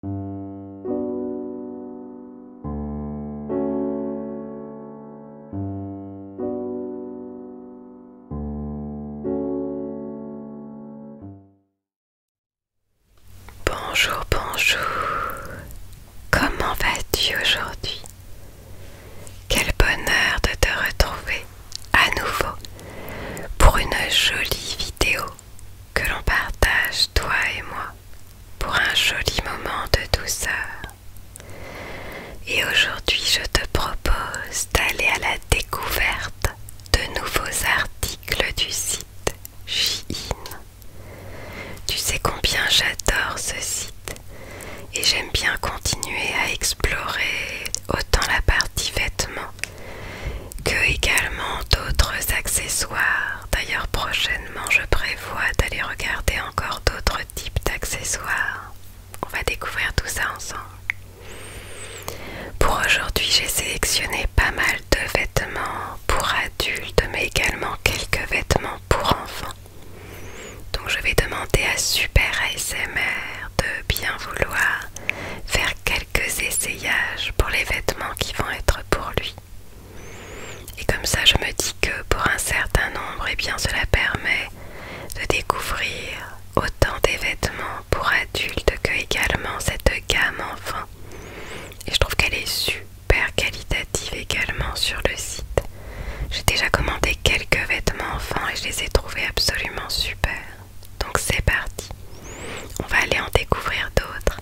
Bonjour, bonjour. Comment vas-tu aujourd'hui Quel bonheur de te retrouver à nouveau pour une jolie vidéo que l'on partage, toi et moi, pour un joli moment de douceur. Et aujourd'hui, je te propose d'aller à la découverte de nouveaux articles du site Shein. Tu sais combien j'adore ce site et j'aime bien continuer à explorer autant la partie vêtements que également d'autres accessoires. D'ailleurs prochainement je prévois d'aller regarder encore d'autres types d'accessoires. On va découvrir tout ça ensemble. Pour aujourd'hui j'ai sélectionné pas mal de vêtements pour adultes mais également quelques vêtements pour enfants. Donc je vais demander à Super ASMR de bien vouloir faire quelques essayages pour les vêtements qui vont être pour lui. Et comme ça, je me dis que pour un certain nombre, et eh bien, cela permet de découvrir autant des vêtements pour adultes que également cette gamme enfant. Et je trouve qu'elle est super qualitative également sur le site. J'ai déjà commandé quelques vêtements enfants et je les ai trouvés absolument super. Donc c'est parti. On va aller en découvrir d'autres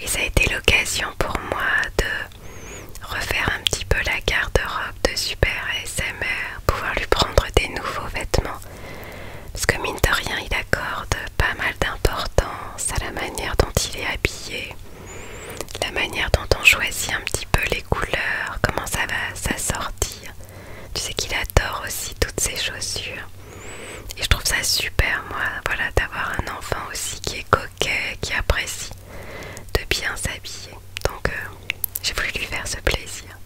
et ça a été l'occasion pour moi de refaire un petit peu la garde-robe de Super Smr, pouvoir lui prendre des nouveaux vêtements. Parce que mine de rien, il accorde pas mal d'importance à la manière dont il est habillé, la manière dont on choisit un petit peu les couleurs, comment ça va s'assortir. Tu sais qu'il adore aussi toutes ses chaussures. Et je trouve ça super, moi, voilà, d'avoir un enfant aussi qui est coquet, qui apprécie de bien s'habiller. Donc, euh, j'ai voulu lui faire ce plaisir.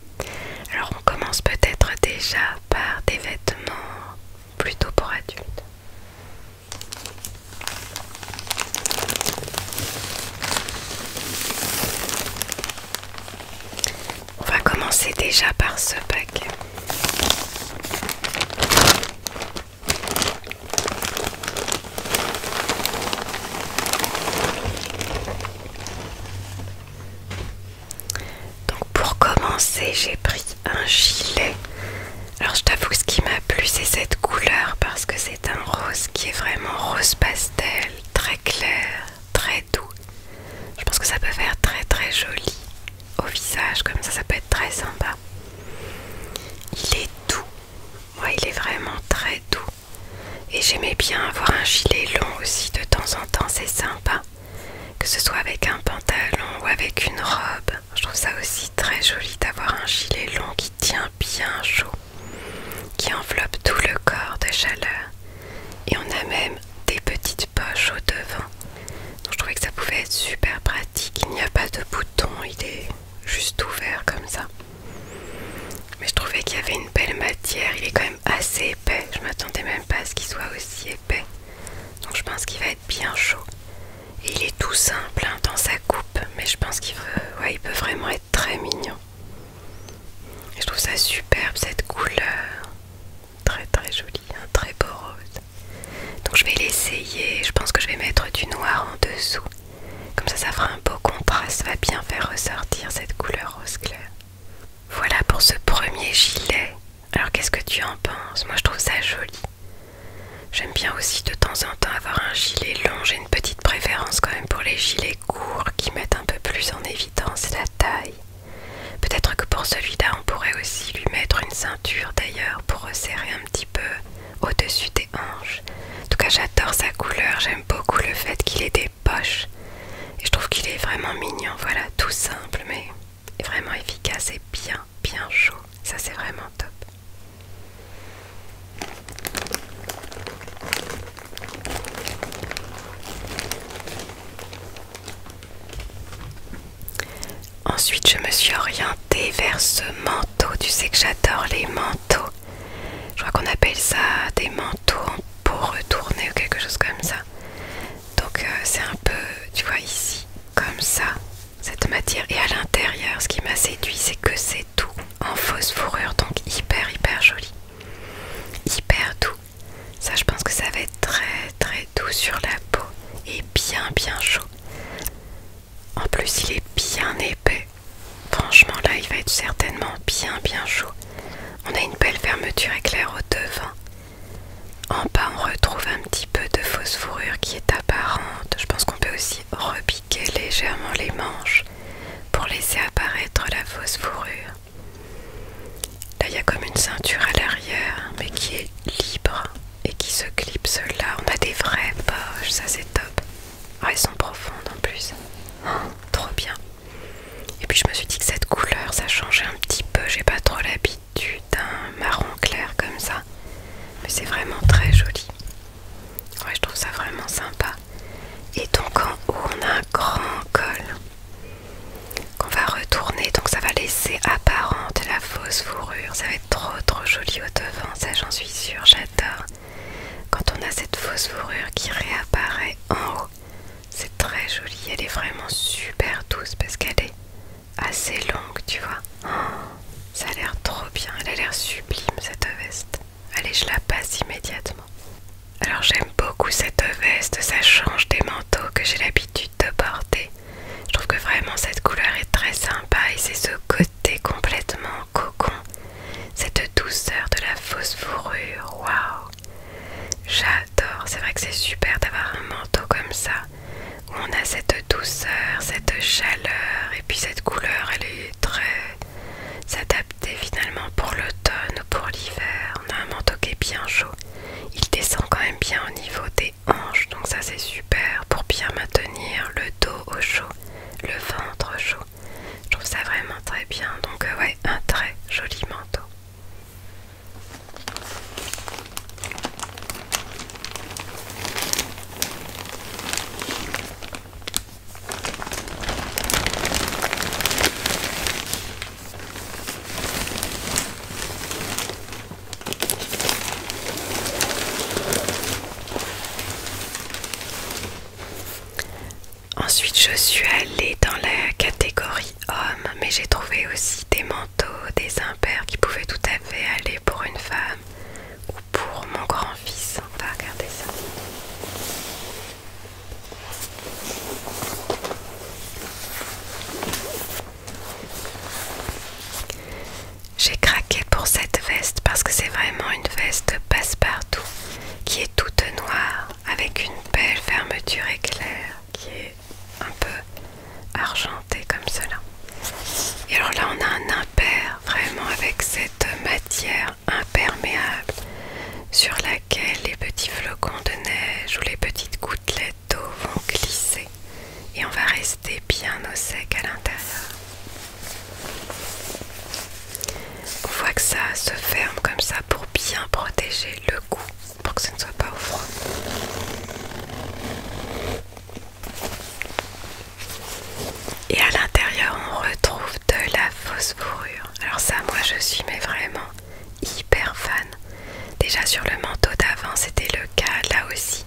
Alors, on commence peut-être déjà par des vêtements plutôt pour adultes. On va commencer déjà par ce paquet. Donc pour commencer j'ai pris un gilet. Alors je t'avoue ce qui m'a plu c'est cette couleur parce que c'est un rose qui est vraiment rose pastel, très clair, très doux. Je pense que ça peut faire très très joli au visage comme ça, ça peut être très sympa. Il est doux, moi il est vraiment très doux. Et j'aimais bien avoir un gilet long aussi de temps en temps, c'est sympa. Que ce soit avec un pantalon ou avec une robe, je trouve ça aussi très joli d'avoir un gilet long qui tient bien chaud, qui enveloppe tout le corps de chaleur. Et on a même des petites poche au devant. Donc je trouvais que ça pouvait être super pratique. Il n'y a pas de bouton, il est juste ouvert comme ça. Mais je trouvais qu'il y avait une belle matière. Il est quand même assez épais. Je m'attendais même pas à ce qu'il soit aussi épais. Donc je pense qu'il va être bien chaud. Et il est tout simple hein, dans sa coupe, mais je pense qu'il peut vraiment être très mignon. Et je trouve ça superbe cette couleur très très joli, un hein, très beau rose. Donc je vais l'essayer, je pense que je vais mettre du noir en dessous. Comme ça, ça fera un beau contraste, ça va bien faire ressortir cette couleur rose clair. Voilà pour ce premier gilet. Alors qu'est-ce que tu en penses Moi je trouve ça joli. J'aime bien aussi de temps en temps avoir un gilet long. J'ai une petite préférence quand même pour les gilets courts qui mettent un peu plus en évidence la taille. Peut-être que pour celui-là on pourrait aussi lui mettre une d'ailleurs pour resserrer un petit peu au-dessus des hanches. En tout cas j'adore sa couleur, j'aime beaucoup le fait qu'il ait des poches. Et je trouve qu'il est vraiment mignon, voilà, tout simple mais vraiment efficace et bien bien chaud. Ça c'est vraiment top. Ensuite, je me suis orientée vers ce manteau. Tu sais que j'adore les manteaux. Je crois qu'on appelle ça des manteaux en peau retournée ou quelque chose comme ça. Donc, euh, c'est un peu, tu vois, ici, comme ça, cette matière. Et à l'intérieur, ce qui m'a séduit, c'est que c'est tout en fausse fourrure. Donc, hyper, hyper joli. Hyper doux. Ça, je pense que ça va être très, très doux sur la peau et bien, bien chaud. En plus, il est bien épais. Franchement, là, il va être certainement bien, bien chaud. On a une belle fermeture éclair au devant. En bas, on retrouve un petit peu de fausse fourrure qui est apparente. Je pense qu'on peut aussi repiquer légèrement les manches pour laisser apparaître la fausse fourrure. Là, il y a comme une ceinture à l'arrière, mais qui est libre et qui se clipse là. On a des vraies poches, ça c'est top. Ah, elles sont profondes en plus. Oh, trop bien. Et puis je me suis dit que cette couleur, ça changeait un petit peu. J'ai pas trop l'habitude d'un marron clair comme ça. Mais c'est vraiment très joli. je trouve ça vraiment sympa. Et donc en haut, on a un grand col qu'on va retourner. Donc ça va laisser apparente la fausse fourrure. Ça trop trop jolie au devant, ça j'en suis sûre, j'adore. Quand on a cette fausse fourrure qui réapparaît en haut, c'est très joli, elle est vraiment super douce parce qu'elle est assez longue, tu vois. ça a l'air trop bien, elle a l'air sublime cette veste. Allez, je la passe immédiatement. Alors j'aime beaucoup cette veste, ça change des membres que j'ai l'habitude de porter. Je trouve que vraiment cette couleur est très sympa et c'est ce côté complètement cocon, cette douceur de la fausse fourrure. Waouh! J'adore, c'est vrai que c'est super d'avoir un manteau comme ça où on a cette douceur, cette chaleur et puis cette couleur elle est très S'adapter finalement pour l'automne ou pour l'hiver. On a un manteau qui est bien chaud, il descend quand même bien au niveau des donc ça c'est super pour bien maintenir le dos au chaud, le ventre au chaud. Je trouve ça vraiment très bien, donc euh, ouais, un très joli manteau. Ensuite, je suis allée dans la catégorie homme, mais j'ai trouvé aussi des manteaux, des impères qui pouvaient tout à fait aller pour une femme ou pour mon grand-fils. On va regarder ça. J'ai craqué pour cette veste parce que c'est vraiment une veste passe-partout qui est toute noire avec une belle fermeture éclair qui est un peu argentée comme cela. Et alors là on a un impair vraiment avec cette matière imperméable sur laquelle les petits flocons de neige ou les petites gouttes les dos vont glisser et on va rester bien au sec à l'intérieur. On voit que ça se ferme comme ça pour bien protéger le cou, pour que ce ne soit pas au froid. Et à l'intérieur, on retrouve de la fausse fourrure. Alors ça, moi, je suis mais vraiment hyper fan. Déjà sur le manteau d'avant, c'était le cas là aussi.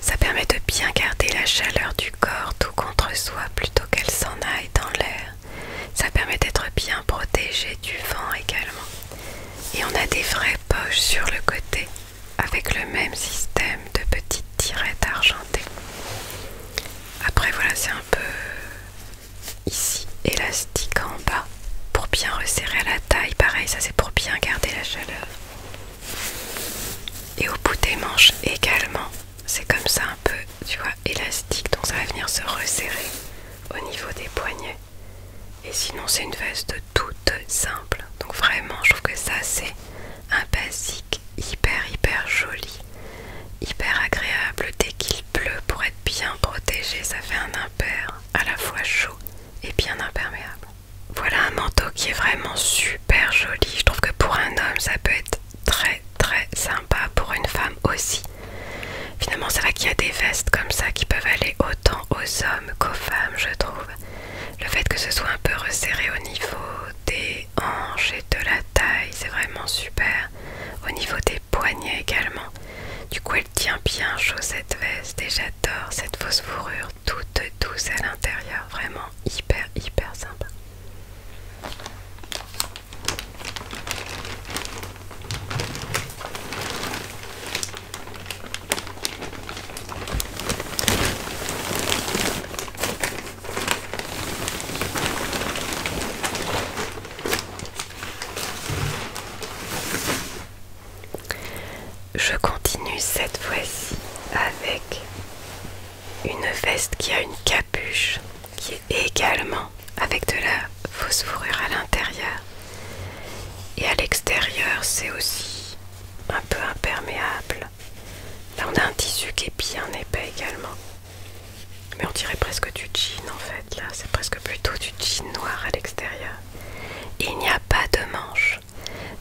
Ça permet de bien garder la chaleur du corps tout contre soi plutôt qu'elle s'en aille dans l'air. Ça permet d'être bien protégé du vent également. Et on a des vraies poches sur le côté avec le même système de petites tirettes argentées. Après voilà, c'est un peu ici élastique en bas pour bien resserrer la taille. Pareil, ça c'est pour bien garder la chaleur et au bout des manches également c'est comme ça un peu tu vois élastique donc ça va venir se resserrer au niveau des poignets et sinon c'est une veste toute simple donc vraiment je trouve que ça c'est un basique hyper hyper joli hyper agréable dès qu'il pleut pour être bien protégé ça fait un impair à la fois chaud et bien imperméable voilà un manteau qui est vraiment super super joli. Je trouve que pour un homme, ça peut être très très sympa, pour une femme aussi. Finalement, c'est vrai qu'il y a des vestes comme ça qui peuvent aller autant aux hommes qu'aux femmes, je trouve. Le fait que ce soit un peu resserré au niveau des hanches et de la taille, c'est vraiment super. Au niveau des poignets également. Du coup, elle tient bien chaud cette veste et j'adore cette fausse fourrure toute douce à l'intérieur. Vraiment hyper, hyper sympa. Je continue cette fois-ci avec une veste qui a une capuche qui est également avec de la fausse fourrure à l'intérieur et à l'extérieur c'est aussi un peu imperméable là on a un tissu qui est bien épais également mais on dirait presque du jean en fait là c'est presque plutôt du jean noir à l'extérieur il n'y a pas de manche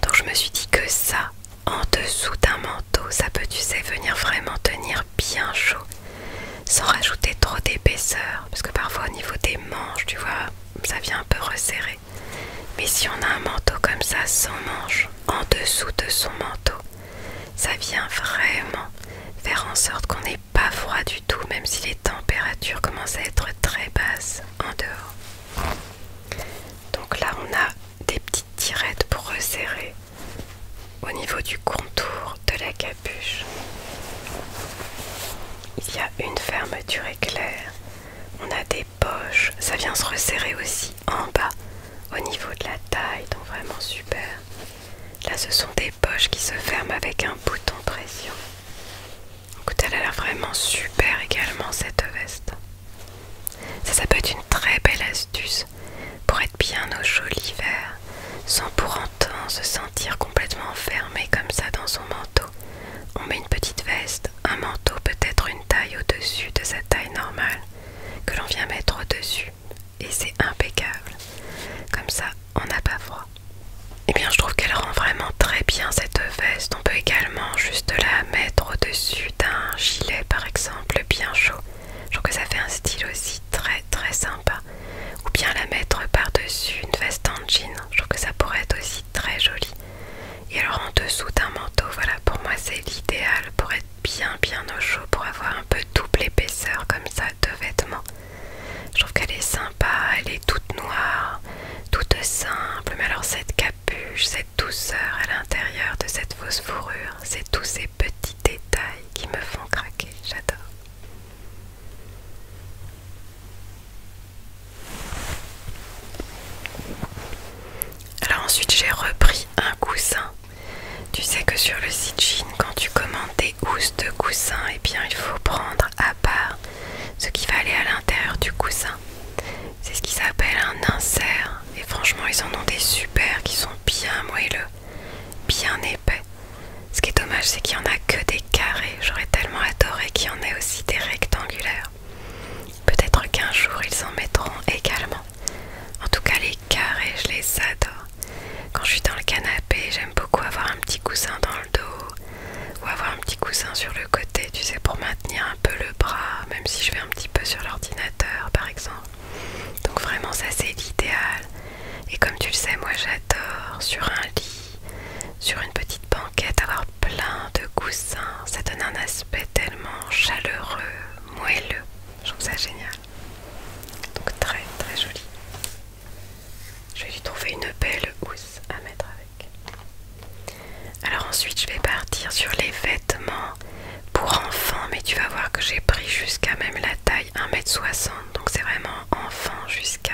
donc je me suis dit que ça en dessous d'un manteau, ça peut, tu sais, venir vraiment tenir bien chaud sans rajouter trop d'épaisseur parce que parfois au niveau des manches, tu vois, ça vient un peu resserrer. Mais si on a un manteau comme ça sans manche en dessous de son manteau, ça vient vraiment faire en sorte qu'on n'ait pas froid du tout, même si les températures commencent à être très basses en dehors. Donc là, on a des petites tirettes pour resserrer au niveau du contour de la capuche. Il y a une fermeture éclair. On a des poches. Ça vient se resserrer aussi en bas au niveau de la taille. Donc vraiment super. Là ce sont des poches qui se ferment avec un bouton pression. Écoute, elle a l'air vraiment super également cette veste. Ça, ça peut être une très belle astuce pour être bien au chaud l'hiver, sans pour autant se sentir complètement fermé comme ça dans son manteau. On met une petite veste, un manteau peut-être une taille au-dessus de sa taille normale, que l'on vient mettre au-dessus, et c'est impeccable. Comme ça, on n'a pas froid. Et eh bien, je trouve qu'elle rend vraiment très bien cette veste. On peut également juste la mettre au-dessus d'un gilet, par exemple, bien chaud je trouve que ça fait un style aussi très très sympa. Ou bien la mettre par-dessus une veste en jean. Je trouve que ça pourrait être aussi très joli. Et alors en dessous d'un manteau, voilà, pour moi c'est l'idéal pour être bien bien au chaud, pour avoir un peu double épaisseur comme ça de vêtements. Je trouve qu'elle est sympa, elle est toute noire, toute simple, mais alors cette capuche, cette douceur à l'intérieur de cette fausse fourrure, c'est tous ces petits détails qui me font craquer, j'adore. Alors ensuite j'ai repris un coussin. Tu sais que sur le site jean, quand tu commandes des housses de coussin, et eh bien il faut prendre à part ce qui va aller à l'intérieur du coussin. C'est ce qui s'appelle un insert. Et franchement, ils en ont des super qui sont bien moelleux, bien épais. Ce qui est dommage, c'est qu'il n'y en a que des carrés. J'aurais tellement adoré qu'il y en ait aussi des rectangulaires. Peut-être qu'un jour, ils en mettront également. En tout cas, les carrés, je les adore. Quand je suis dans le canapé, j'aime beaucoup avoir un petit coussin dans le dos ou avoir un petit coussin sur le côté, tu sais, pour maintenir peu le bras, même si je vais un petit peu sur l'ordinateur par exemple. Donc vraiment ça c'est l'idéal. Et comme tu le sais, moi j'adore sur un lit, sur une petite banquette, avoir plein de coussins. Ça donne un aspect tellement chaleureux, moelleux. Je trouve ça génial. Donc très très joli. Je vais lui trouver une belle housse à mettre avec. Alors ensuite je vais partir sur les vêtements pour enfants, mais tu vas voir que j'ai pris jusqu'à même la taille 1m60, donc c'est vraiment enfant jusqu'à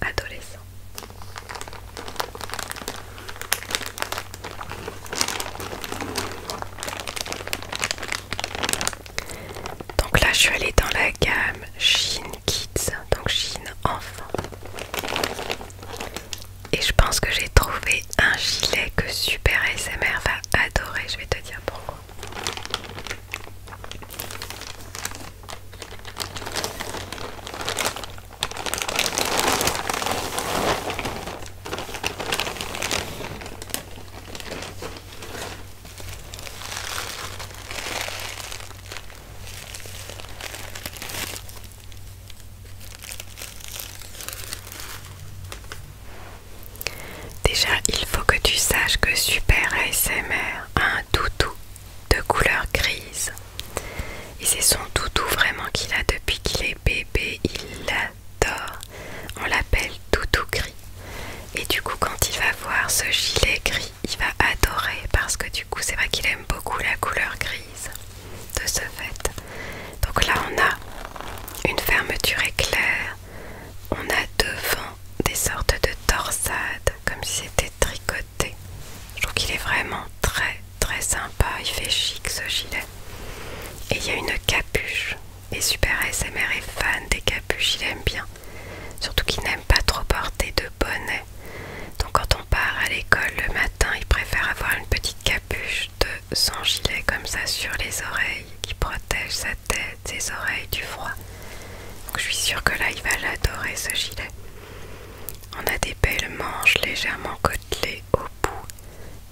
adolescent. Donc là, je suis allée dans la gamme Shein Kids, donc jean enfant. Et je pense que j'ai trouvé un gilet que Super SMR va adorer. Je vais te dire pourquoi. Déjà, il faut que tu saches que Super ASMR a un doudou de couleur grise. Et c'est son doudou vraiment qu'il a depuis qu'il est bébé, il l'adore. On l'appelle doudou gris. Et du coup, quand il va voir ce gilet gris, il va adorer parce que du coup, c'est vrai qu'il aime beaucoup la couleur grise de ce fait. Donc là on a une fermeture éclair, on a devant des sortes de torsades comme si c'était tricoté. Je trouve qu'il est vraiment très très sympa, il fait chic ce gilet. Et il y a une capuche. Et Super ASMR est fan des capuches, il aime bien. Surtout qu'il n'aime pas trop porter de bonnet. Donc quand on part à l'école le matin, il préfère avoir une petite capuche bûche de son gilet comme ça sur les oreilles qui protège sa tête, ses oreilles du froid. je suis sûre que là il va l'adorer ce gilet. On a des belles manches légèrement côtelées au bout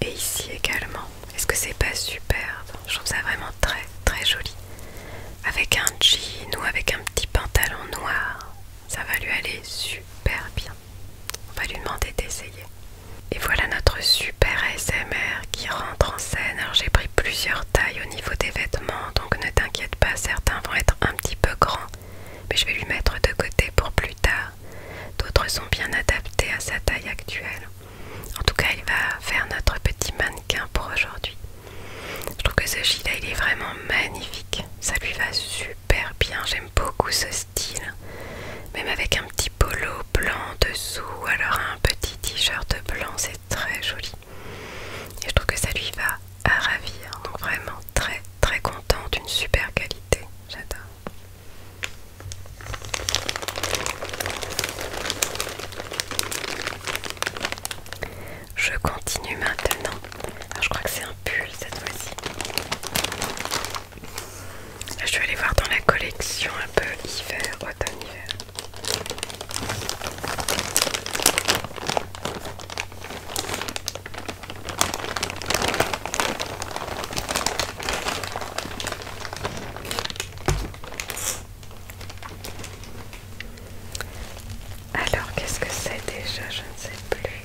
et ici également. Est-ce que c'est pas super, Je trouve ça vraiment très très joli. Avec un jean ou avec un petit pantalon noir, ça va lui aller super bien. On va lui demander d'essayer. Et voilà notre super SMR qui rentre en scène. Alors j'ai pris plusieurs tailles au niveau des vêtements, donc ne t'inquiète pas, certains vont être un petit peu grands, mais je vais lui mettre de côté pour plus tard. D'autres sont bien adaptés à sa taille actuelle. En tout cas, il va faire notre petit mannequin pour aujourd'hui. Je trouve que ce gilet, il est vraiment magnifique. Ça lui va super bien, j'aime beaucoup ce style, même avec un petit polo blanc dessous, alors un petit t-shirt blanc, c'est très joli. Et je trouve que ça lui va à ravir, donc vraiment très très contente, une super qualité, j'adore. Je continue maintenant. Ah, je crois que c'est un pull cette fois-ci. Je vais aller voir dans la collection un peu hiver, automne, hiver. Alors, qu'est-ce que c'est déjà Je ne sais plus.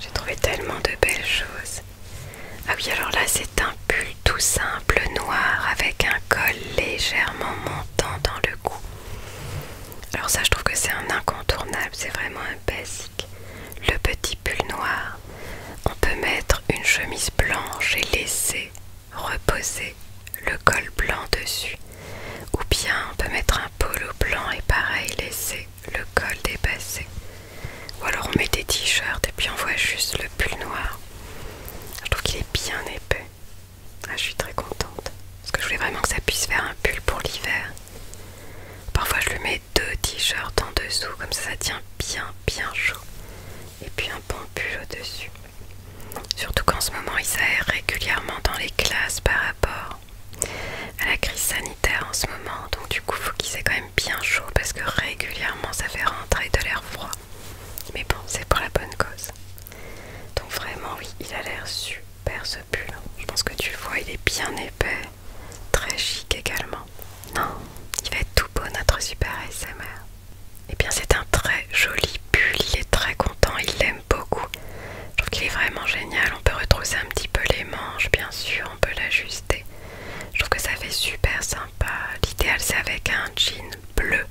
J'ai trouvé tellement de belles choses. Ah oui, alors là, c'est un pull tout simple noir avec un col légèrement montant dans le cou. Alors ça, je trouve que c'est un incontournable, c'est vraiment un basique. Le petit pull noir, on peut mettre une chemise blanche et laisser reposer le col blanc dessus. Ou bien on peut mettre un polo blanc et pareil laisser le col dépassé. Ou alors on met des t-shirts et puis on voit juste le pull noir. Je trouve qu'il est bien épais. Ah, je suis très contente. Parce que je voulais vraiment que ça puisse faire un pull pour l'hiver. Parfois je lui mets deux t-shirts en dessous, comme ça ça tient bien bien chaud. Et puis un bon pull au-dessus. Surtout qu'en ce moment il s'aère régulièrement dans les classes par rapport à la crise sanitaire en ce moment. Donc du coup faut qu'il s'est quand même bien chaud parce que régulièrement ça fait rentrer de l'air froid. Mais bon, c'est pour la bonne cause. Donc vraiment oui, il a l'air super ce pull. Je pense que tu le vois, il est bien épais, très chic également. Non, il va être tout beau notre super SMR. Et eh bien c'est un très joli pull, il est très content, il l'aime beaucoup. Je trouve qu'il est vraiment génial, on peut retrousser un petit peu les manches bien sûr, on peut l'ajuster je trouve que ça fait super sympa. L'idéal c'est avec un jean bleu.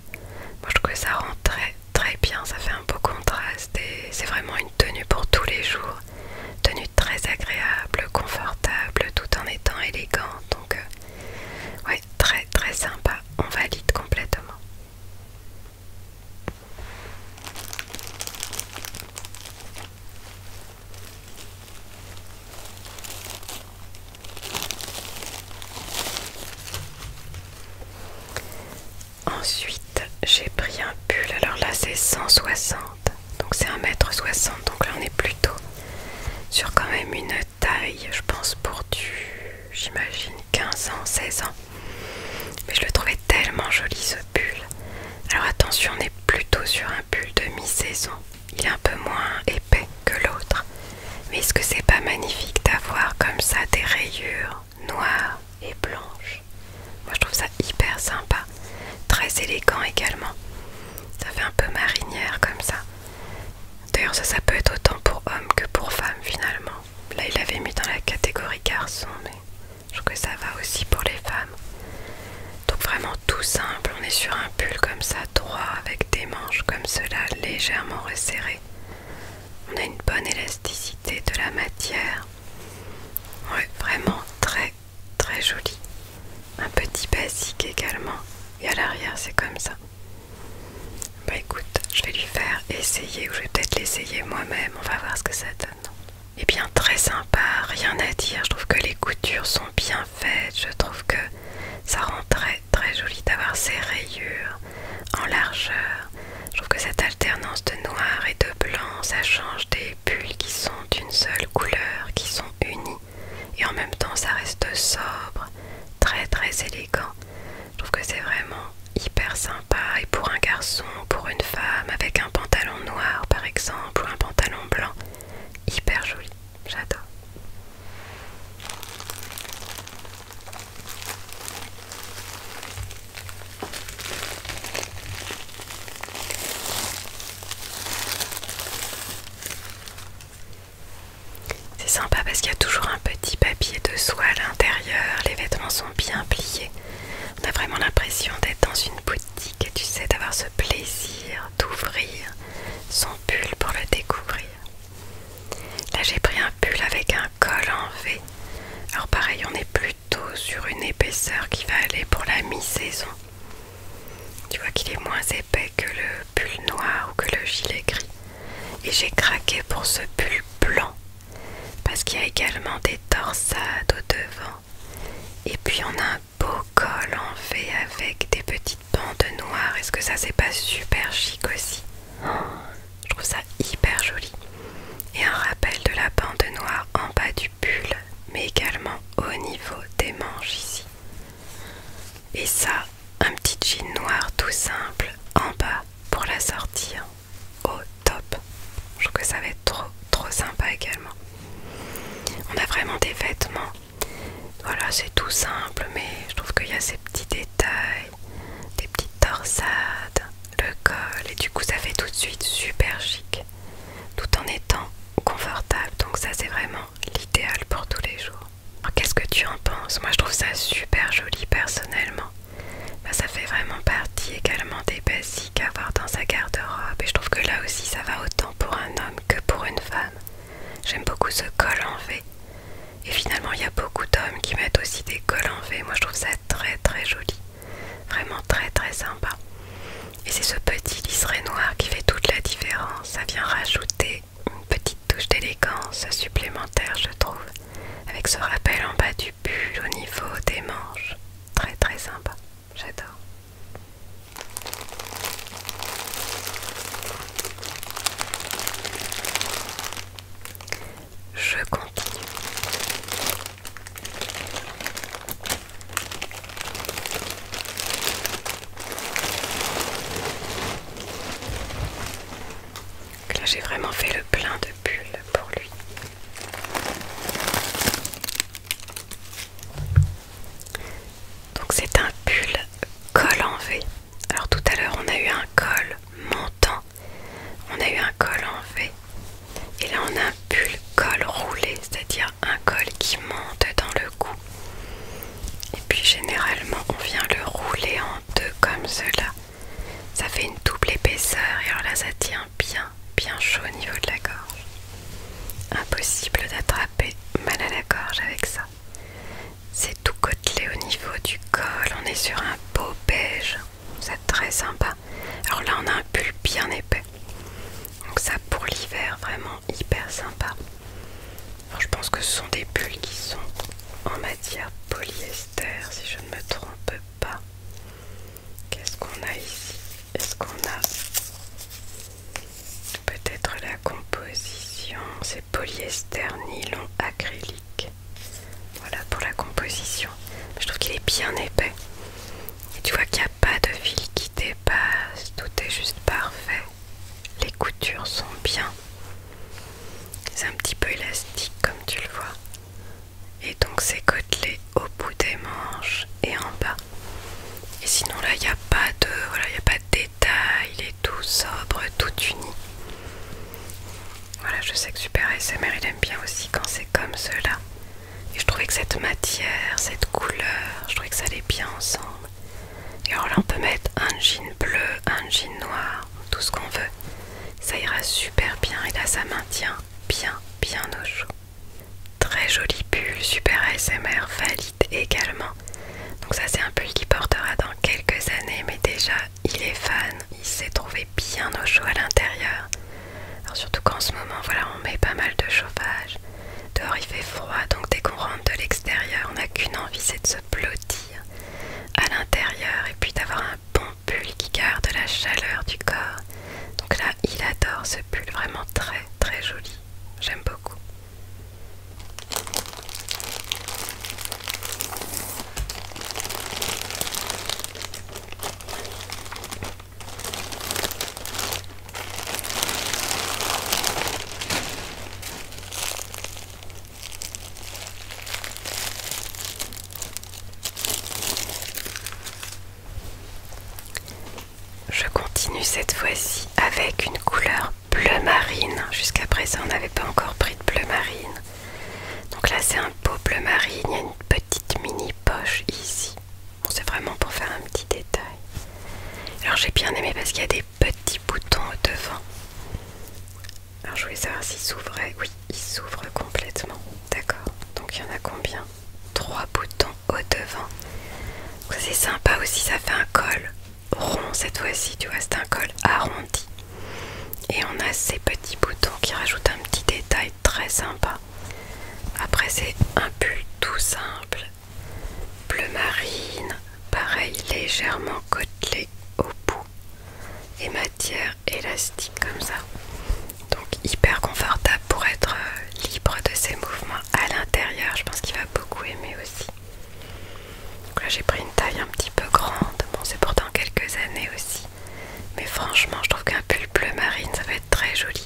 Moi je trouve que ça rend très très bien, ça fait un beau contraste et c'est vraiment une tenue pour tous les jours. Tenue très agréable, confortable, tout en étant élégante. Donc euh, ouais, très très sympa. On valide complètement. Ensuite, j'ai pris un pull. Alors là, c'est 160. Donc c'est 1m60. Donc là, on est plutôt sur quand même une taille, je pense, pour du, j'imagine, 15 ans, 16 ans. Mais je le trouvais tellement joli ce pull. Alors attention, on est plutôt sur un pull de mi-saison. Il est un peu moins épais que l'autre. Mais est-ce que c'est pas magnifique d'avoir comme ça des rayures noires et blanches Moi je trouve ça hyper sympa. Très élégant également. Ça fait un peu marinière comme ça. D'ailleurs ça, ça peut être autant pour homme que pour femmes finalement. Là il l'avait mis dans la catégorie garçon mais... Je trouve que ça va aussi pour les femmes. Donc vraiment tout simple, on est sur un pull comme ça, droit, avec des manches comme cela, légèrement resserrées. On a une bonne élasticité de la matière. Ouais, vraiment très très joli. Un petit basique également. Et à l'arrière c'est comme ça. Bah écoute, je vais lui faire essayer ou je vais peut-être l'essayer moi-même. On va voir ce que ça donne. Eh bien très sympa, rien à dire, je trouve que les coutures sont bien faites, je trouve que ça rend très très joli d'avoir ces rayures en largeur. Je trouve que cette alternance de noir et de blanc, ça change des bulles qui sont d'une seule couleur, qui sont unies et en même temps ça reste sobre, très très élégant. Je trouve que c'est vraiment hyper sympa et pour un garçon, pour une femme avec un pantalon noir par exemple ou un pantalon blanc, hyper joli, j'adore. C'est sympa parce qu'il y a toujours un petit papier de soie à l'intérieur, les vêtements sont bien pliés. On a vraiment l'impression d'être dans une boutique que tu sais, d'avoir ce plaisir d'ouvrir son pull pour le découvrir. Là, j'ai pris un pull avec un col en V. Alors pareil, on est plutôt sur une épaisseur qui va aller pour la mi-saison. Tu vois qu'il est moins épais que le pull noir ou que le gilet gris. Et j'ai craqué pour ce pull blanc parce qu'il y a également des torsades au devant. Et puis on a un beau col en fait avec des petites bandes noires. Est-ce que ça c'est pas super chic aussi Je trouve ça hyper joli. Et un rappel de la bande noire en bas du pull, mais également au niveau des manches ici. Et ça, un petit jean noir tout simple en bas pour la sortir au top. Je trouve que ça va être trop trop sympa également. On a vraiment des vêtements. Voilà, c'est tout simple, mais je trouve qu'il y a ces petits détails, des petites torsades, le col, et du coup, ça fait tout de suite super chic, tout en étant confortable. Donc, ça, c'est vraiment l'idéal pour tous les jours. Qu'est-ce que tu en penses Moi, je trouve ça super joli personnellement. Bah, ça fait vraiment partie également des basiques Qu'à avoir dans sa garde-robe et je trouve que là aussi ça va autant pour un homme que pour une femme. J'aime beaucoup ce col en V et finalement il y a beaucoup d'hommes qui mettent aussi des cols en V. Moi je trouve ça très très joli, vraiment très très sympa. Et c'est ce petit liseré noir qui fait toute la différence. Ça vient rajouter une petite touche d'élégance supplémentaire je trouve avec ce rappel en bas du pull au niveau des manches. Très très sympa. J'adore. Je continue. là, j'ai vraiment fait le plein de bulles pour lui. Donc c'est un pull col en V. Alors tout à l'heure on a eu un col montant, on a eu un col en V. Et là on a un pull col roulé, c'est-à-dire un col qui monte dans le cou. Et puis généralement on vient le rouler en deux comme cela. Ça fait une double épaisseur et alors là ça tient bien, bien chaud au niveau de la gorge. Impossible d'attraper mal à la gorge avec ça. C'est tout côtelé au niveau du col, on est sur un beau beige, c'est très sympa. Alors là on a un pull bien épais, donc ça pour l'hiver vraiment hyper sympa. je pense que ce sont des pulls qui sont en matière polyester si je ne me trompe pas. Qu'est-ce qu'on a ici Est-ce qu'on a Peut-être la composition, c'est polyester, nylon, acrylique. Voilà pour la composition. Je trouve qu'il est bien épais. Et tu vois qu'il n'y a pas de fil qui dépasse, tout est juste parfait. Les coutures sont bien. C'est un petit peu élastique comme tu le vois. Et donc c'est côtelé au bout des manches et en bas. Et sinon là il n'y a pas de voilà, y a pas de détails, il est tout sobre, tout uni. Voilà, je sais que Super ASMR il aime bien aussi quand c'est comme cela. Et je trouvais que cette matière, cette couleur, je trouvais que ça allait bien ensemble. Et alors là on peut mettre un jean bleu, un jean noir, tout ce qu'on veut. Ça ira super bien et là ça maintient bien bien au chaud. Très joli pull, super ASMR, valide également. Donc ça c'est un pull qui portera dans quelques années, mais déjà il est fan, il s'est trouvé bien au chaud à l'intérieur. Alors surtout qu'en ce moment voilà on met pas mal de chauffage. Dehors il fait froid, donc dès qu'on rentre de l'extérieur, on n'a qu'une envie c'est de se blottir à l'intérieur et puis d'avoir un bon pull qui garde la chaleur du corps. Donc là il adore ce pull, vraiment très très joli. J'aime beaucoup. Je continue cette fois-ci avec une couleur bleu marine. Jusqu'à présent, on n'avait pas encore pris de bleu marine. Donc là, c'est un beau bleu marine. Il y a une petite mini poche ici. c'est vraiment pour faire un petit détail. Alors, j'ai bien aimé parce qu'il y a des petits boutons au devant. Alors, je voulais savoir s'ils s'ouvraient Oui, il s'ouvre complètement. D'accord. Donc, il y en a combien Trois boutons au-devant. C'est sympa aussi, ça fait un col rond cette fois-ci, tu vois, c'est un col arrondi. Et on a ces petits boutons qui rajoutent un petit détail très sympa. Après c'est un pull tout simple, bleu marine, pareil légèrement côtelé au bout et matière élastique comme ça. Donc hyper confortable pour être euh, libre de ses mouvements à l'intérieur. Je pense qu'il va beaucoup aimer aussi. là j'ai pris une taille un petit peu grande. Bon c'est pourtant quelques années aussi. Mais franchement je trouve qu'un pull bleu marine ça va être très joli.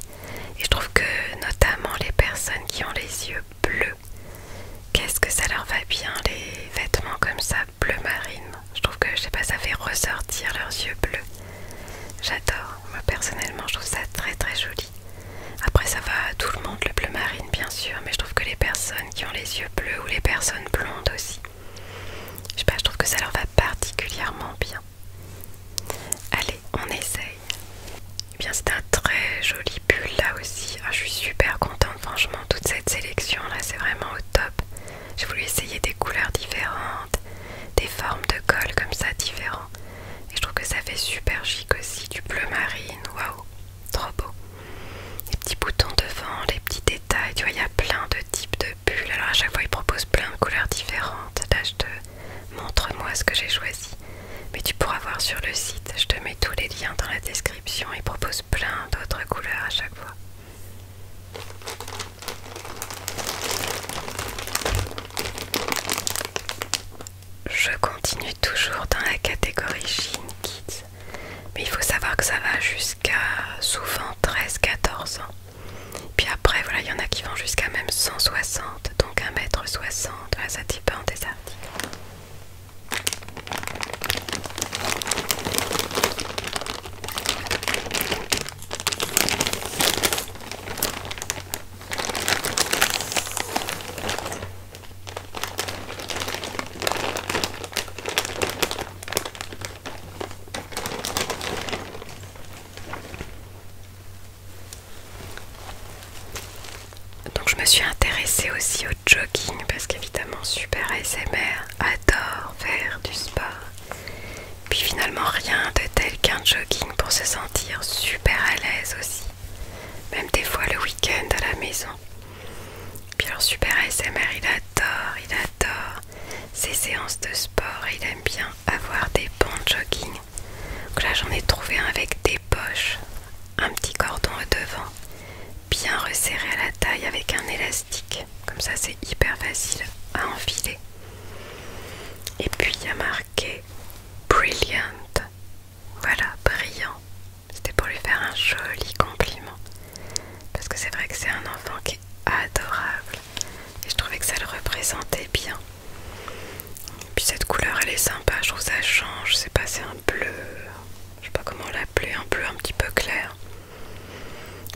Et je trouve que notamment les personnes qui ont les yeux bleus, qu'est-ce que ça leur va bien les vêtements comme ça bleu marine. Je trouve que je sais pas ça fait ressortir leurs yeux bleus. J'adore. Moi personnellement je trouve ça très très joli. Après ça va à tout le monde, le bleu marine bien sûr, mais je trouve que les personnes qui ont les yeux bleus ou les personnes blondes aussi, je sais pas, je trouve que ça leur va particulièrement bien. Allez, on essaye. Eh bien c'est un très joli pull là aussi. Ah, je suis super contente franchement, toute cette sélection là c'est vraiment au top. J'ai voulu essayer des couleurs différentes, des formes de col comme ça différentes et je trouve que ça fait super chic aussi, du bleu marine, waouh, trop beau. Les petits boutons devant, les petits détails, tu vois, il y a plein de types de bulles. Alors à chaque fois, ils proposent plein de couleurs différentes. Là, je te montre moi ce que j'ai choisi. Mais tu pourras voir sur le site, je te mets tous les liens dans la description. Ils proposent plein d'autres couleurs à chaque fois. Je continue toujours dans la catégorie jean Kids, mais il faut savoir que ça va jusqu'à souvent 13-14 ans. Puis après, voilà, il y en a qui vont jusqu'à même 160, donc 1m60, ça ça dépend des articles. Donc je me suis intéressée aussi au jogging parce qu'évidemment super ASMR adore faire du sport. Puis finalement rien de tel qu'un jogging pour se sentir super à l'aise aussi même des fois le week-end à la maison. Puis leur super SMR, il adore, il adore ses séances de sport il aime bien avoir des bons jogging. Donc là, j'en ai trouvé avec des poches, un petit cordon au devant, bien resserré à la taille avec un élastique. Comme ça, c'est hyper facile à enfiler. Et puis il y a marqué Brilliant voilà, brillant. C'était pour lui faire un joli compliment. Parce que c'est vrai que c'est un enfant qui est adorable. Et je trouvais que ça le représentait bien. puis cette couleur, elle est sympa. Je trouve ça change. C'est pas, c'est un bleu. Je sais pas comment l'appeler. Un bleu un petit peu clair.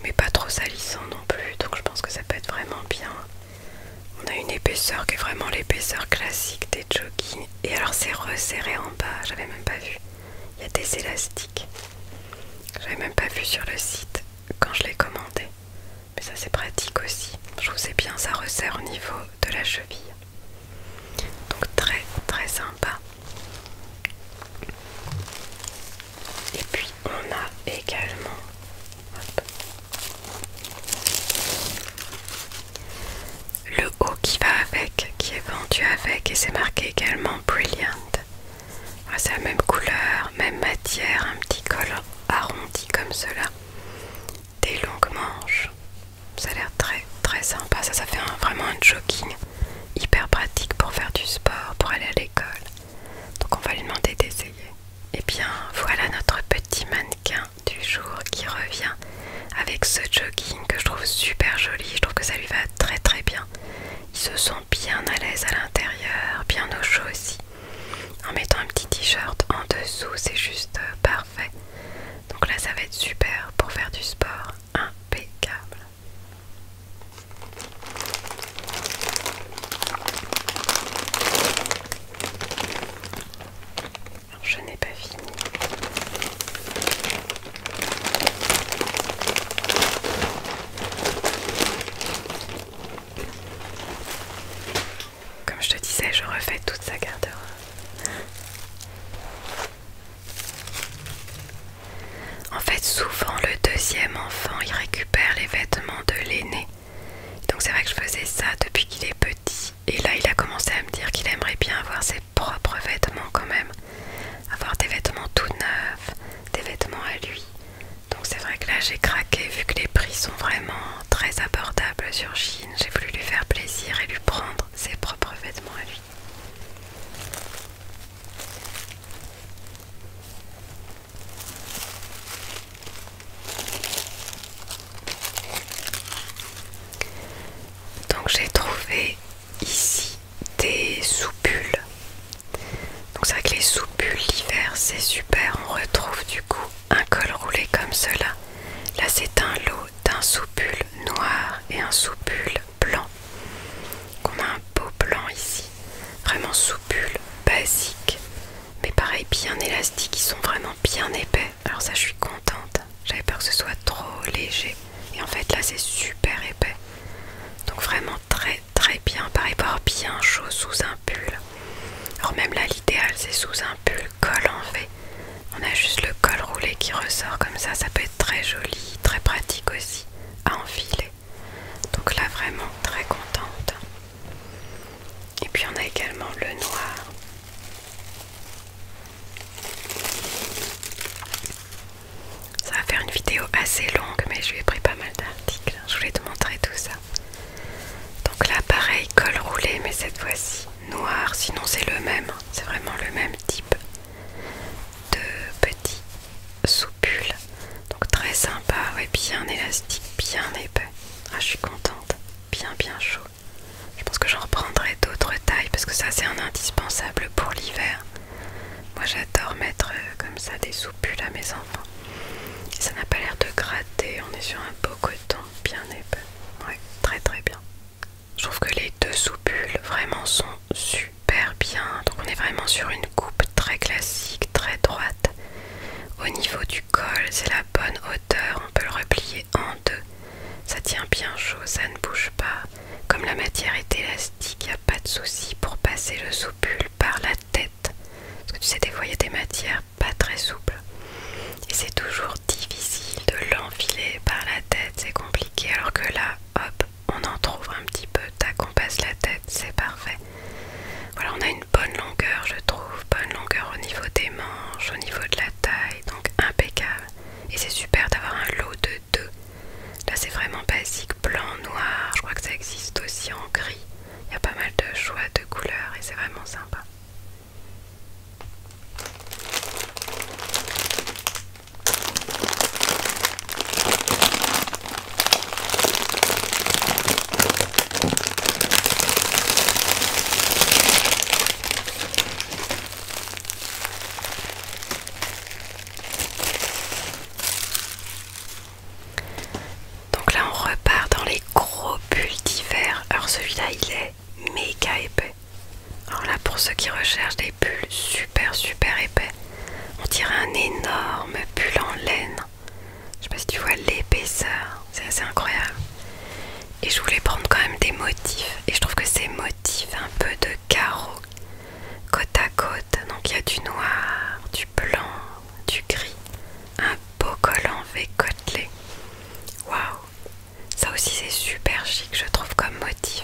Mais pas trop salissant non plus. Donc je pense que ça peut être vraiment bien. On a une épaisseur qui est vraiment l'épaisseur classique des joggings. Et alors c'est resserré en bas, j'avais même pas vu. Il y a des élastiques. J'avais même pas vu sur le site quand je l'ai commandé. Mais ça c'est pratique aussi. Je vous ai bien, ça resserre au niveau de la cheville. Donc très très sympa. Et puis on a également le haut qui va avec, qui est vendu avec, et c'est marqué également Brilliant. Ah, c'est la même couleur, même matière, un petit col arrondi comme cela. Des longues manches. Ça a l'air très très sympa. Ça, fait vraiment un jogging hyper pratique pour faire du sport, pour aller à l'école. Donc on va lui demander d'essayer. Et eh bien voilà notre petit mannequin du jour qui revient avec ce jogging que je trouve super joli. Je trouve que ça lui va très très bien. Il se sent bien à l'aise à l'intérieur, bien au chaud aussi. En mettant un petit t-shirt en dessous, c'est juste parfait. Donc là, ça va être super pour faire du sport. Impeccable je n'ai pas fini. Comme je te disais, je refais toute sa garde-robe. En fait, souvent le deuxième enfant, il récupère les vêtements de l'aîné donc c'est vrai que je faisais ça depuis qu'il est petit. Et là, il a commencé à me dire qu'il aimerait bien avoir ses propres vêtements quand même. Avoir des vêtements tout neufs, des vêtements à lui. Donc c'est vrai que là, j'ai craqué vu que les prix sont vraiment très abordables sur Chine. J'ai voulu lui faire plaisir et lui prendre ses propres vêtements à lui. Donc j'ai trouvé ici des soupules. Donc c'est vrai que les soupules l'hiver c'est super, on retrouve du coup un col roulé comme cela. Là c'est un lot d'un soupule noir et un soupule blanc. On a un beau blanc ici, vraiment soupule basique mais pareil bien élastiques, ils sont vraiment bien épais. Alors ça je suis contente, j'avais peur que ce soit trop léger et en fait là c'est super épais. Donc vraiment très très bien, pareil pour bien chaud sous un pull. Alors même là l'idéal c'est sous un pull col en V. On a juste le col roulé qui ressort comme ça, ça peut être très joli, très pratique aussi à enfiler. Donc là vraiment très contente. Et puis on a également le noir ça va faire une vidéo assez longue, mais je lui ai pris pas mal d'articles. Hein. Je voulais te montrer tout ça. Donc là, pareil, col roulé, mais cette fois-ci noir. Sinon, c'est le même. Hein. C'est vraiment le même type de petit soupule. Donc très sympa, ouais, bien élastique, bien épais. Ah, je suis contente. Bien, bien chaud. Je pense que j'en reprendrai d'autres tailles parce que ça c'est un indispensable pour l'hiver. Moi j'adore mettre euh, comme ça des soupules à mes enfants. Ça n'a pas l'air de gratter, on est sur un beau coton bien épais. Ouais, très très bien. Je trouve que les deux soupules vraiment sont super bien. Donc on est vraiment sur une coupe très classique, très droite. Au niveau du col, c'est la bonne hauteur, on peut le replier en deux. Ça tient bien chaud, ça ne bouge pas. Comme la matière est élastique, il n'y a pas de souci pour passer le soupule par la tête. Parce que tu sais, des fois, il y a des matières pas très souples. Et c'est toujours difficile de l'enfiler par la tête, c'est compliqué. Alors que là, hop, on en trouve un petit peu. Tac, on passe la tête, c'est parfait. Voilà, on a une bonne longueur, je trouve. Bonne longueur au niveau des manches, au niveau de la taille, donc impeccable. Et c'est super d'avoir un lot de deux. Là c'est vraiment basique, blanc, noir, je crois que ça existe aussi en gris. Il y a pas mal de choix de couleurs et c'est vraiment sympa. Donc là, on repart dans les gros bulles d'hiver. Alors celui-là, il est méga épais. Alors là, pour ceux qui recherchent des bulles super super épais, on dirait un énorme Bulle en laine. Je sais pas si tu vois l'épaisseur, c'est assez incroyable. Et je voulais prendre quand même des motifs. Et je trouve que ces motifs, un peu de carreau côte à côte. Donc il y a du noir, du blanc, du gris. Un beau collant V côtelé. Waouh Ça aussi c'est super chic, je trouve, comme motif.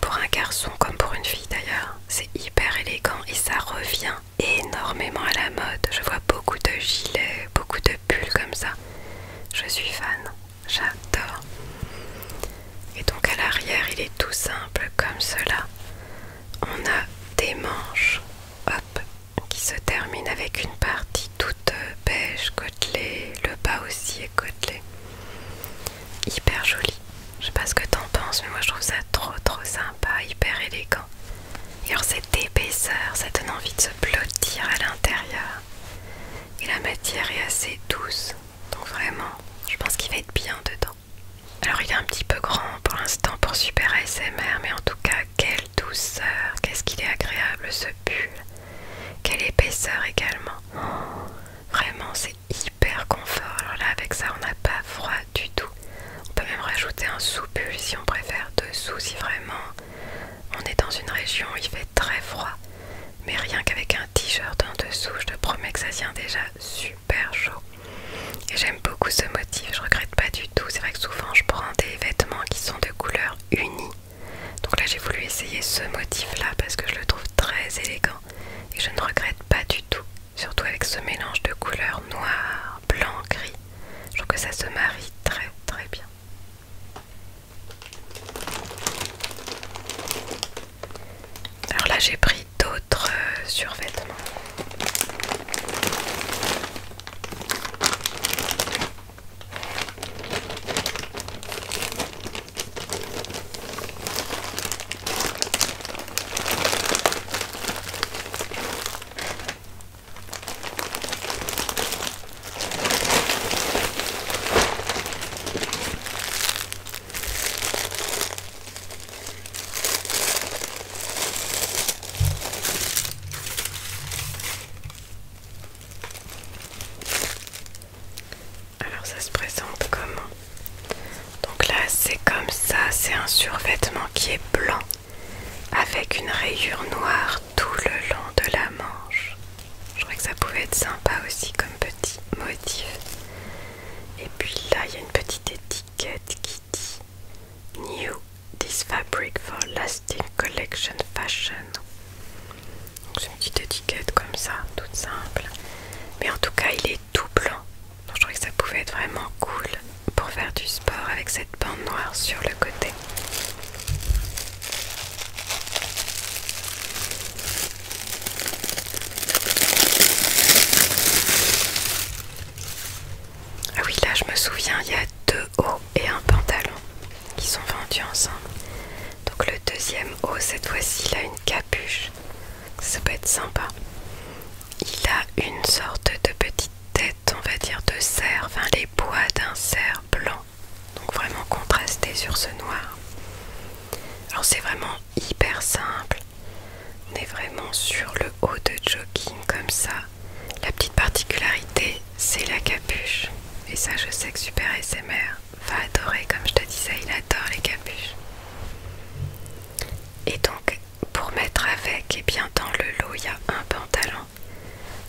Pour un garçon comme pour une fille d'ailleurs. C'est hyper élégant et ça revient énormément à la mode. Je vois beaucoup de gilets, beaucoup de pull comme ça. Je suis fan, j'adore. Et donc à l'arrière, il est tout simple comme cela. On a des manches, hop, qui se terminent avec une partie toute beige, côtelée, le bas aussi est côtelé. Hyper joli. Je sais pas ce que t'en penses, mais moi je trouve ça trop trop sympa, hyper élégant. Et alors cette épaisseur, ça donne envie de se blottir à l'intérieur. Et la matière est assez douce. Donc vraiment, je pense qu'il va être bien dedans. Alors il est un petit peu grand pour l'instant pour Super ASMR, mais en tout cas, quelle douceur, qu'est-ce qu'il est agréable ce pull. Quelle épaisseur également. vraiment, c'est hyper confort. Alors là, avec ça, on n'a pas froid du tout. On peut même rajouter un sous-pull si on préfère dessous, si vraiment on est dans une région où il fait très froid, mais rien qu'avec un t-shirt en dessous, je te promets que ça tient déjà super chaud. Et j'aime beaucoup ce motif, je regrette pas du tout. C'est vrai que souvent je prends des vêtements qui sont de couleur unie. Donc là j'ai voulu essayer ce motif là parce que je le trouve très élégant et je ne regrette pas du tout. Surtout avec ce mélange de couleurs noir, blanc, gris. Je trouve que ça se marie très très bien. Alors là j'ai pris d'autres euh, survêtements. Alors ça se présente comment Donc là c'est comme ça, c'est un survêtement qui est blanc avec une rayure noire tout le long de la manche. Je crois que ça pouvait être sympa aussi comme petit motif. Et puis là, il y a une petite étiquette qui dit New This Fabric for Lasting Collection Fashion. Donc c'est une petite étiquette comme ça, toute simple. Mais en tout cas, il est tout blanc. Donc je trouvais que ça pouvait être vraiment cool pour faire du sport avec cette bande noire sur le côté. Ah oui, là je me souviens, il y a deux hauts et un pantalon qui sont vendus ensemble. Donc le deuxième haut, cette fois-ci, il a une capuche. Ça peut être sympa. Il a une sorte de petite tête, on va dire, de cerf, les bois d'un cerf blanc donc vraiment contrasté sur ce noir alors c'est vraiment hyper simple on est vraiment sur le haut de jogging comme ça la petite particularité c'est la capuche et ça je sais que Super SMR va adorer comme je te disais il adore les capuches et donc pour mettre avec et eh bien dans le lot il y a un pantalon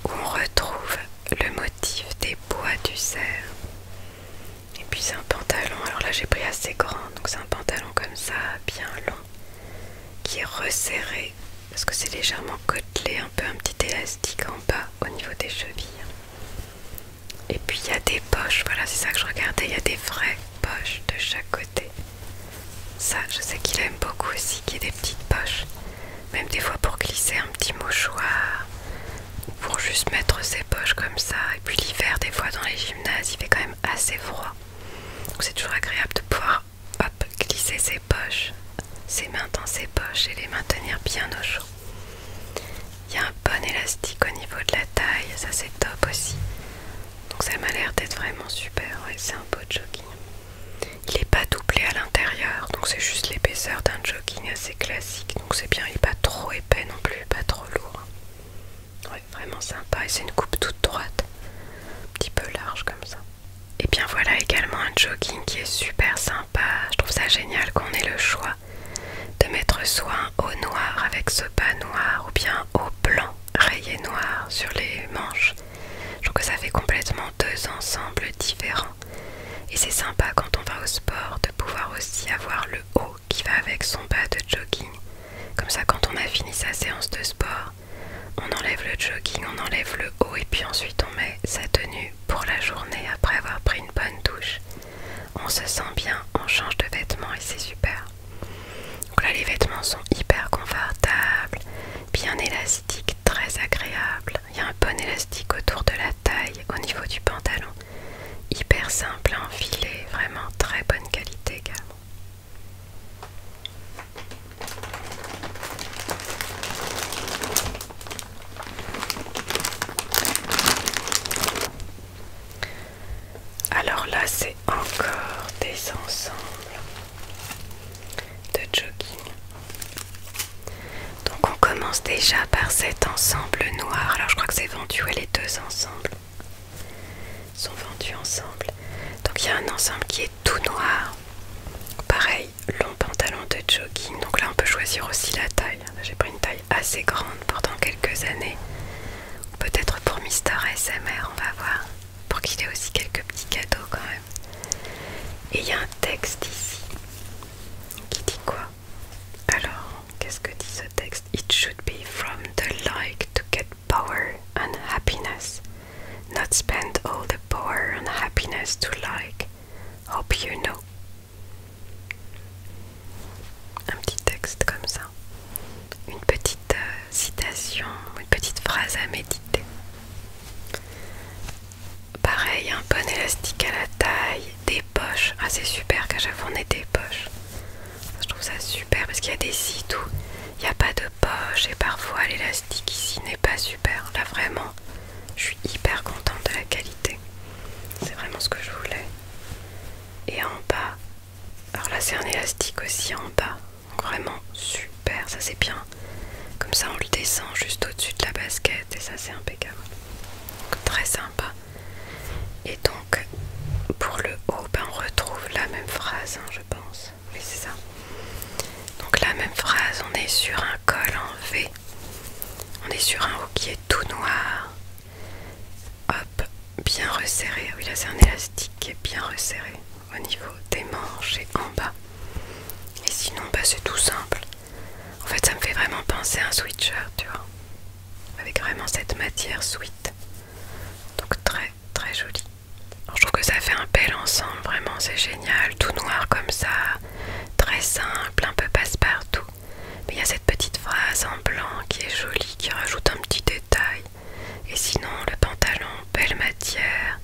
où on retrouve le motif des bois du cerf. Et puis c'est un pantalon, alors là j'ai pris assez grand, donc c'est un pantalon comme ça, bien long, qui est resserré, parce que c'est légèrement côtelé, un peu un petit élastique en bas au niveau des chevilles. Et puis il y a des poches, voilà c'est ça que je regardais, il y a des vraies poches de chaque côté. Ça je sais qu'il aime beaucoup aussi, qu'il y ait des petites poches même des fois pour glisser un petit mouchoir pour juste mettre ses poches comme ça. Et puis l'hiver, des fois dans les gymnases, il fait quand même assez froid. Donc c'est toujours agréable de pouvoir glisser ses poches, ses mains dans ses poches et les maintenir bien au chaud. Il y a un bon élastique au niveau de la taille, ça c'est top aussi. Donc ça m'a l'air d'être vraiment super, et c'est un beau jogging. Il n'est pas doublé à l'intérieur, donc c'est juste l'épaisseur d'un jogging assez classique. Donc c'est bien, il n'est pas trop épais non plus, pas trop lourd. vraiment sympa. Et c'est une coupe toute droite, un petit peu large comme ça. Et bien voilà également un jogging qui est super sympa. Je trouve ça génial qu'on ait le choix de mettre soit au noir avec ce bas noir ou bien au blanc rayé noir sur les manches. Je trouve que ça fait complètement deux ensembles différents et c'est sympa quand on va au sport de pouvoir aussi avoir le haut qui va avec son bas de jogging. Comme ça, quand on a fini sa séance de sport, on enlève le jogging, on enlève le haut et puis ensuite on met sa tenue pour la journée après avoir pris une bonne douche. On se sent bien, on change de vêtements et c'est super. Donc là, les vêtements sont hyper confortables, bien élastiques, très agréables. Il y a un bon élastique autour de la taille au niveau du pantalon. Hyper simple à enfiler, vraiment très bonne qualité également. Alors là, c'est encore des ensembles de jogging. Donc on commence déjà par cet ensemble noir. Alors je crois que c'est vendu, ouais, les deux ensembles sont vendus ensemble. Donc il y a un ensemble qui est tout noir. Pareil, long pantalon de jogging. Donc là on peut choisir aussi la taille. J'ai pris une taille assez grande pendant quelques années. Peut-être pour Mister SMR, on va voir. Pour qu'il ait aussi quelques petits cadeaux quand même. Et il y a un texte ici qui dit quoi Alors, qu'est-ce que dit ce texte It should be from the like to get power and happiness, not spend all the power and happiness to like. Hope you know. Un petit texte comme ça, une petite euh, citation, une petite phrase à méditer. Pareil, un bon élastique à la taille, des poches. Ah, c'est super qu'à chaque fois on des poches. Je trouve ça super parce qu'il y a des sites où il n'y a pas de poche et parfois l'élastique ici n'est pas super. Là, vraiment, je suis hyper contente de la qualité. C'est vraiment ce que je voulais. Et en bas, alors là, c'est un élastique aussi en bas. vraiment super, ça c'est bien comme ça on le descend juste au-dessus de la basket et ça c'est impeccable. très sympa. Et donc pour le haut, ben, on retrouve la même phrase, hein, je pense. c'est ça. Donc la même phrase, on est sur un col en V. On est sur un haut qui est tout noir. Hop, bien resserré. Ah oui là c'est un élastique qui est bien resserré au niveau des manches et en bas. Et sinon, ben, c'est tout simple. En fait, ça me fait vraiment penser à un sweatshirt, tu vois. Avec vraiment cette matière sweet Donc très très joli. je trouve que ça fait un bel ensemble, vraiment c'est génial. Tout noir comme ça, très simple, un peu passe-partout. Mais il y a cette petite phrase en blanc qui est jolie, qui rajoute un petit détail. Et sinon, le pantalon, belle matière.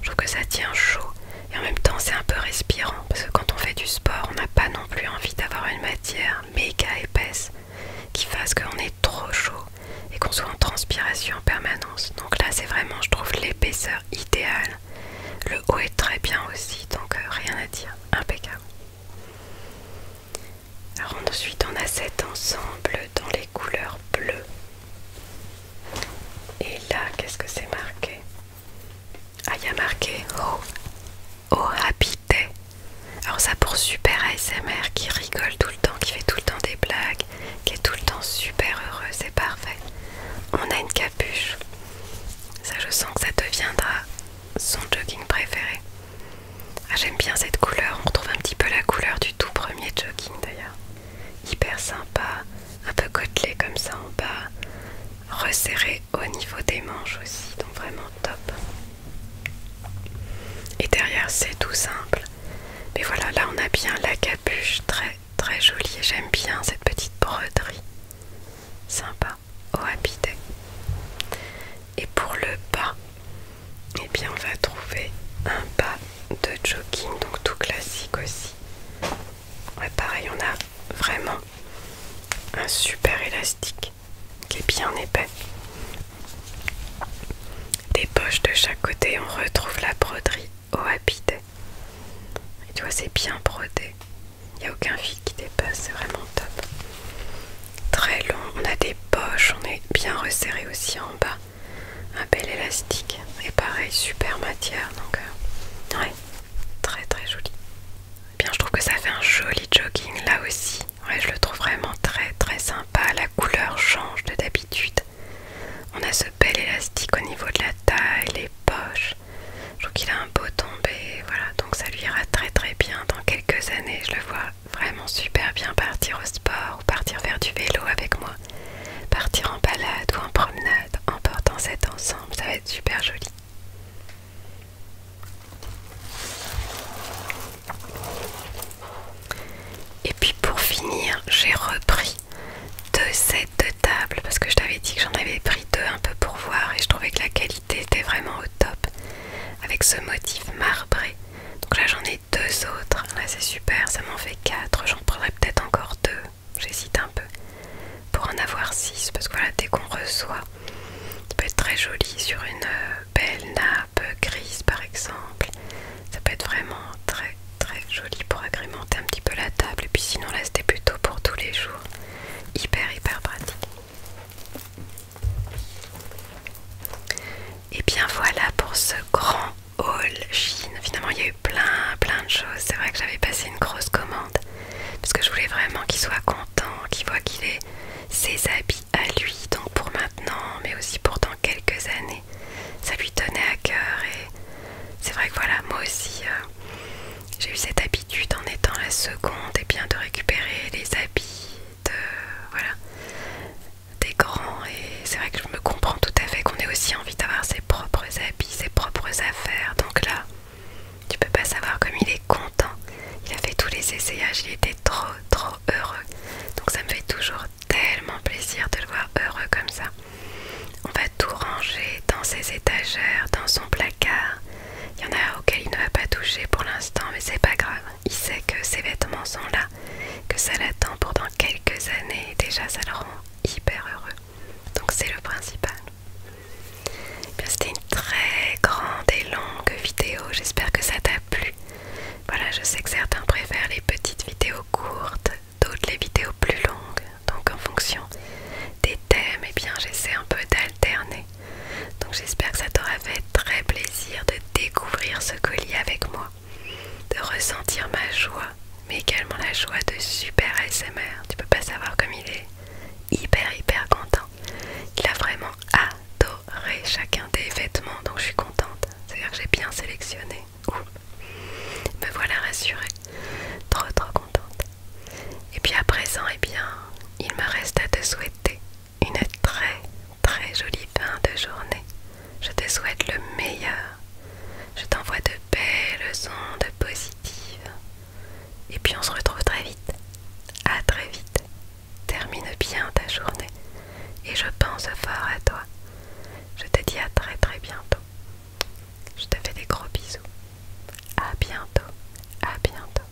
Je trouve que ça tient chaud et en même temps c'est un peu respirant parce que quand on fait du sport on n'a pas non plus envie d'avoir une matière méga épaisse qui fasse qu'on est trop chaud et qu'on soit en transpiration en permanence donc là c'est vraiment je trouve l'épaisseur idéale le haut est très bien aussi donc euh, rien à dire impeccable alors ensuite on a cet ensemble dans les couleurs bleues et là qu'est ce que c'est marqué ah, il a marqué Oh, oh happy day. Alors, ça pour super ASMR qui rigole tout le temps, qui fait tout le temps des blagues, qui est tout le temps super heureux, c'est parfait. On a une capuche. Ça, je sens que ça deviendra son jogging préféré. Ah, j'aime bien cette couleur. On retrouve un petit peu la couleur du tout premier jogging d'ailleurs. Hyper sympa un peu côtelé comme ça en bas, resserré au niveau des manches aussi, donc vraiment top. Et derrière c'est tout simple. Mais voilà, là on a bien la capuche, très très jolie j'aime bien cette petite broderie. Sympa, au habité Et pour le bas, et eh bien on va trouver un bas de jogging, donc tout classique aussi. pareil, on a vraiment un super élastique qui est bien épais. Des poches de chaque côté, on retrouve la broderie au habité. Et tu vois, c'est bien brodé. Il n'y a aucun fil qui dépasse, c'est vraiment top. Très long, on a des poches, on est bien resserré aussi en bas. Un bel élastique et pareil, super matière. Donc, euh, ouais, Très très joli. Eh bien, je trouve que ça fait un joli jogging là aussi. je le trouve vraiment très très sympa. La couleur change de d'habitude. On a ce bel élastique au niveau de la taille, les poches. Je trouve qu'il a un beau tombé. Voilà, donc ça lui ira très très bien dans quelques années. Je le vois vraiment super bien partir au sport ou partir vers du vélo avec moi. Partir en balade ou en promenade en portant cet ensemble, ça va être super joli. Et puis pour finir, j'ai repris deux sets de table parce que je t'avais dit que j'en avais pris deux un peu pour voir et je trouvais que la qualité était vraiment au top avec ce motif marbré. Donc là j'en ai deux autres, là c'est super, ça m'en fait quatre, j'en prendrai peut-être encore deux j'hésite un peu pour en avoir 6 parce que voilà dès qu'on reçoit ça peut être très joli sur une euh, belle nappe grise par exemple ça peut être vraiment très très joli pour agrémenter un petit peu la table et puis sinon là c'était plutôt pour tous les jours hyper hyper pratique et bien voilà pour ce grand haul Chine finalement il y a eu plein plein de choses c'est vrai que j'avais passé une grosse commande parce que je voulais vraiment qu'il soit content, qu'il voit qu'il ait ses habits à lui, donc pour maintenant, mais aussi pour dans quelques années. Ça lui tenait à cœur et c'est vrai que voilà, moi aussi, euh, j'ai eu cette habitude en étant la seconde et eh bien de récupérer les habits des grands et c'est vrai que je me comprends tout à fait qu'on ait aussi envie d'avoir ses propres habits, ses propres affaires, donc là... Tu peux pas savoir comme il est content. Il a fait tous les essayages, il était trop trop heureux. Donc ça me fait toujours tellement plaisir de le voir heureux comme ça. On va tout ranger dans ses étagères, dans son placard. Il y en a auquel il ne va pas toucher pour l'instant, mais c'est pas grave. Il sait que ses vêtements sont là, que ça l'attend pendant quelques années. déjà, ça le rend hyper heureux donc c'est le principal. Eh c'était une très grande et longue vidéo, j'espère que ça t'a plu. Voilà, je sais que certains préfèrent les petites vidéos courtes, d'autres les vidéos plus longues, donc en fonction des thèmes, eh bien j'essaie un peu d'alterner. Donc j'espère que ça t'aura fait très plaisir de découvrir ce colis avec moi, de ressentir ma joie, mais également la joie de super ASMR. Tu peux pas savoir comme il est hyper hyper content. Il a vraiment adoré chacun des vêtements, donc je suis contente. C'est-à-dire que j'ai bien sélectionné. Me voilà rassurée. Trop trop contente. Et puis à présent, et eh bien, il me reste à te souhaiter une très très jolie fin de journée. Je te souhaite le meilleur. Je t'envoie de belles ondes positives. Et puis on se retrouve très vite. À très vite. Termine bien ta journée. Et je pense fort à toi. Je te dis à très très bientôt. Je te fais des gros bisous. À bientôt. À bientôt.